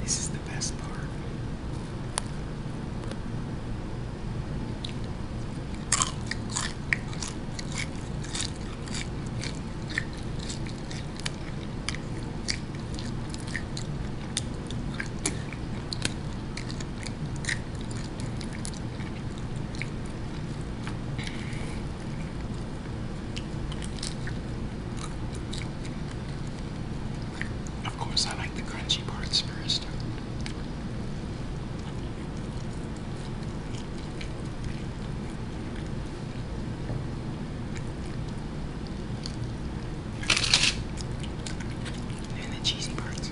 This is the best part. Of course, I like the crunchy parts first. And the cheesy parts.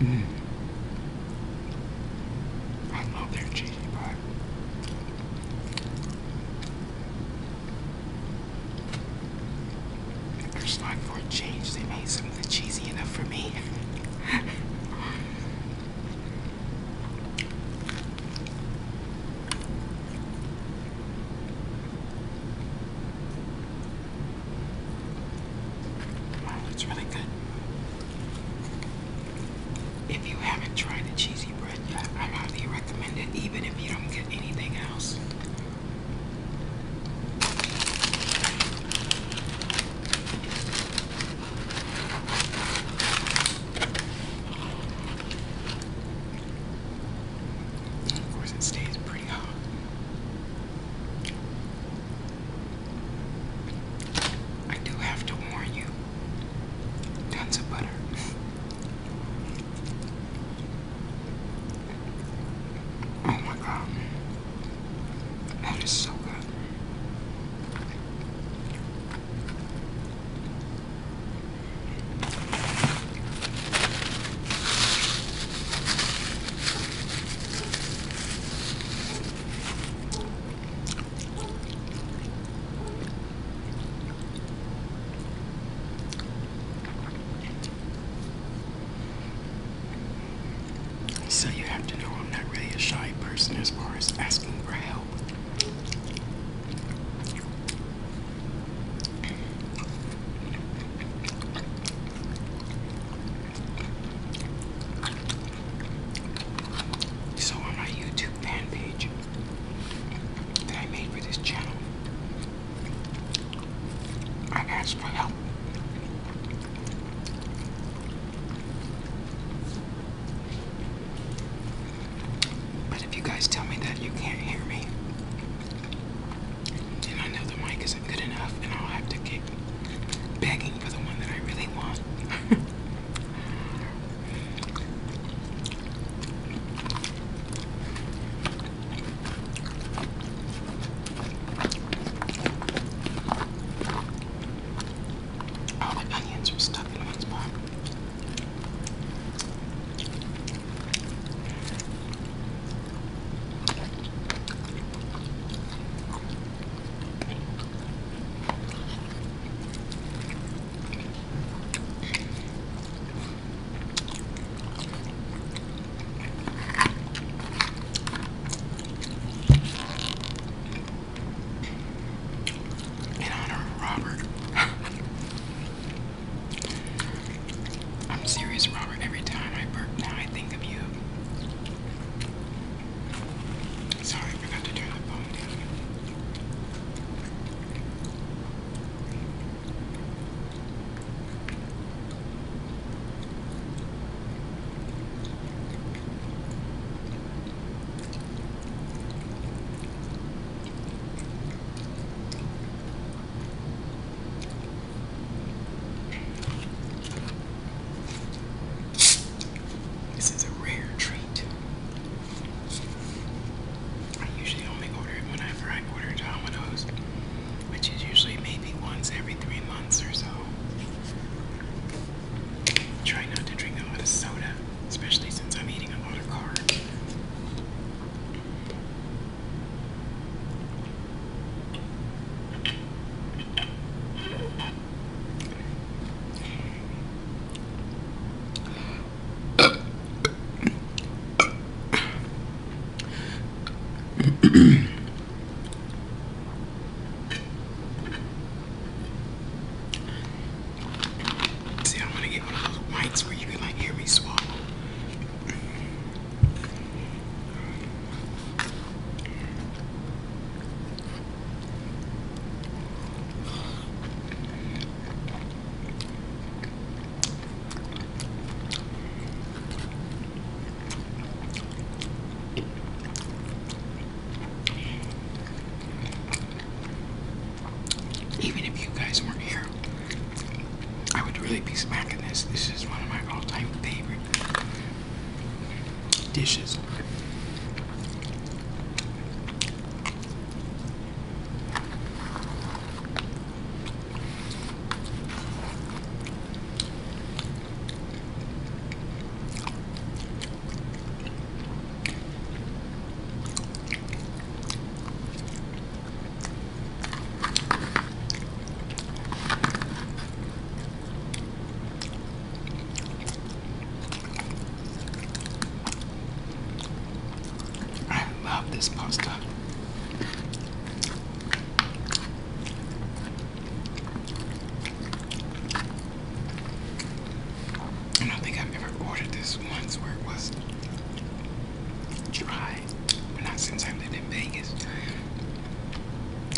Mm. I love their cheesy pie. It's not for change. They made something cheesy enough for me. Wow, that's really good. If you haven't tried the cheesy bread yet, I highly recommend it, even if you don't get anything else of course, it stays pretty hot. I do have to warn you tons of butter. oh my god, that is so good. So you have to know I'm not really a shy person as far as asking for help. So on my YouTube fan page that I made for this channel, I asked for help. But if you guys tell me that you can't hear me, then I know the mic isn't good enough and I'll have to keep begging for the one that I really want. All oh, onions are stuck in one spot. In honor of Robert. I'm serious, Robert. Every time I burp now, I think of you. Sorry, forgot to turn the phone down. This is a rare treat. I usually only order it whenever I order Domino's, which is usually maybe once every three months or so. Try not to drink a lot of soda especially since I'm eating a lot of carbs. See, I want to get one of those whites where you can like hear me swallow. Even if you guys weren't here, I would really be smacking this. This is one of my all-time favorite dishes. I love this pasta. I don't think I've ever ordered this once where it was dry. But not since I lived in Vegas.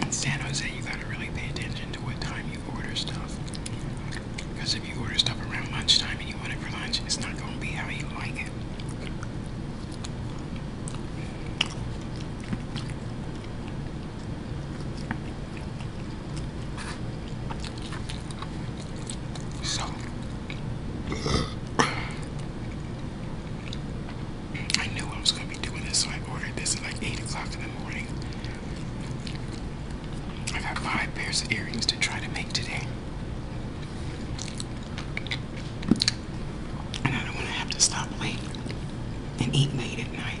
In San Jose, you gotta really pay attention to what time you order stuff. Because if you order stuff around lunchtime and you want it for lunch, it's not gonna be how you like it. So, I knew I was going to be doing this, so I ordered this at like 8 o'clock in the morning. I have got five pairs of earrings to try to make today. And I don't want to have to stop late and eat late at night.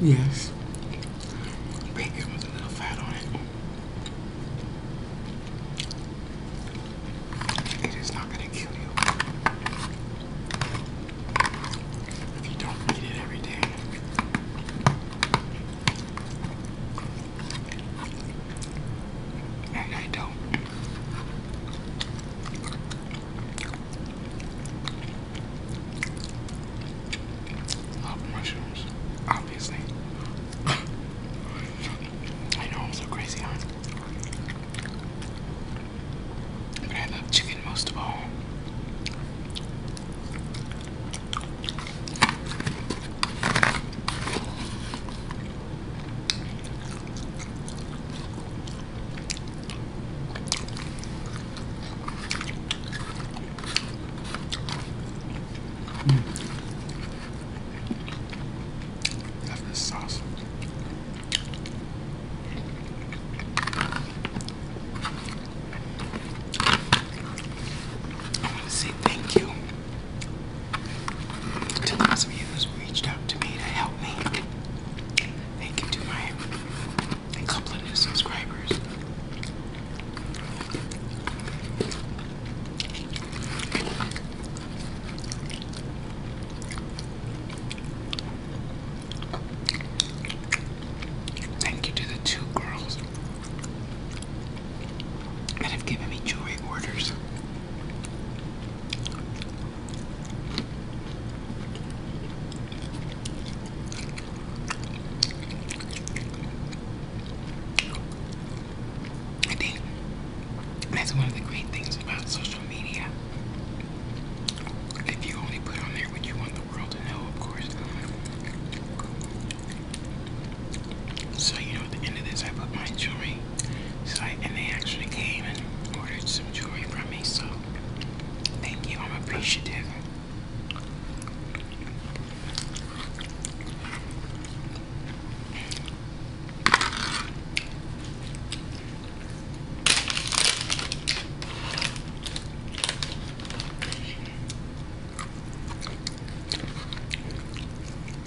Yes. Bacon with a little fat on it. It is not going to kill you. If you don't eat it every day. I don't mushrooms, obviously. I know I'm so crazy on. But I love chicken most of all. Mm. sauce. I want to say thank you to those of reached out to me to help me. They can do my couple new subscribers. Thank you to the two girls that have given me jewelry orders. I think that's one of the great things about social media. If you only put on there what you want the world to know, of course. So, you know, at the end of this, I put my jewelry. and they actually came and ordered some jewelry from me. So thank you. I'm appreciative.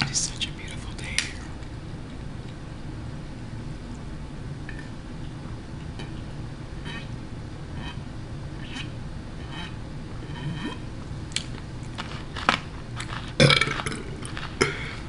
It is such a beautiful day here.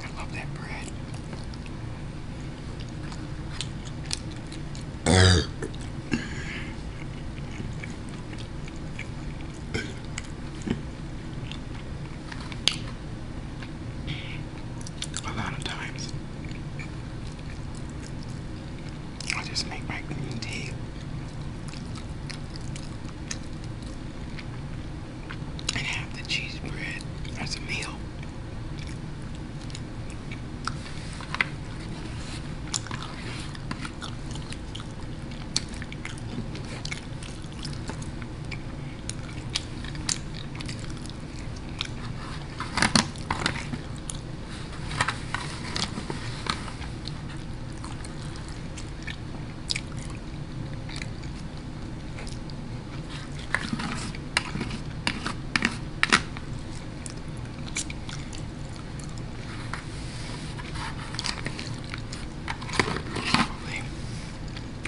I love that bread. A lot of times I just make my green tea. And have the cheese bread as a meal. Probably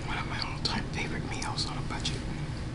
one of my all-time favorite meals on a budget.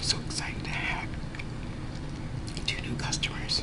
So excited to have two new customers.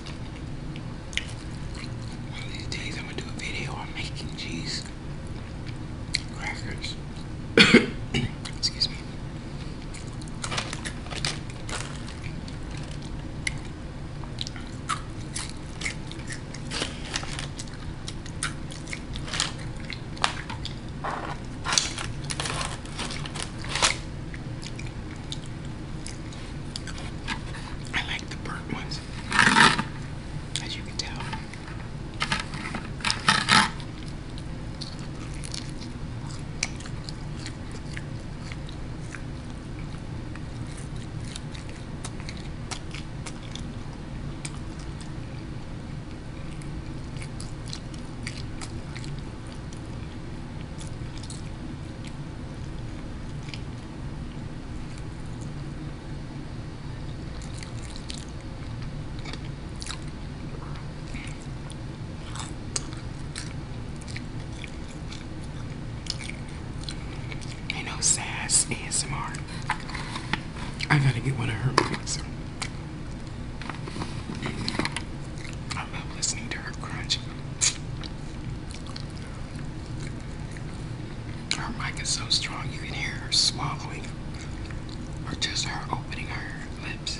One of these days, I'm gonna do a video on making cheese crackers. Excuse me. I like the burnt ones, as you can tell. I know Sass ASMR. I gotta get one of her movies. I love listening to her crunch. Her mic is so strong you can hear her swallowing or just her opening her lips.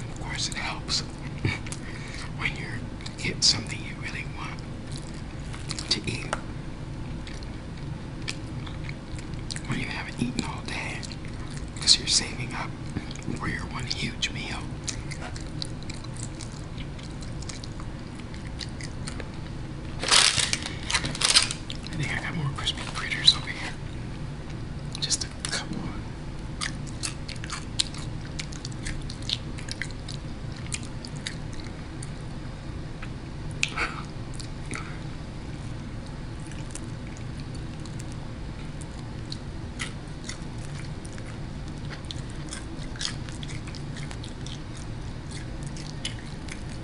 of course, it helps when you get something you really want to eat. When you haven't eaten all day, because you're saving up for your one huge meal. I think I got more Christmas critters over here. Just a couple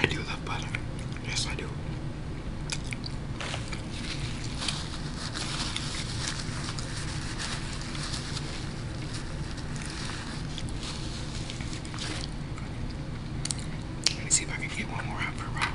I do love butter. Yes, I do. Let me see if I can get one more out for Robert.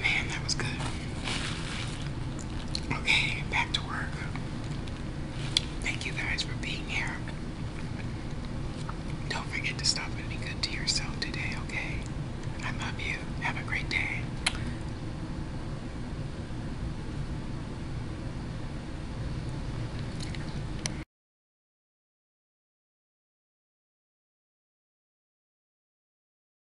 Man, that was good. Okay, back to work. Thank you guys for being here. Don't forget to stop and be good to yourself today, okay? I love you. Have a great day.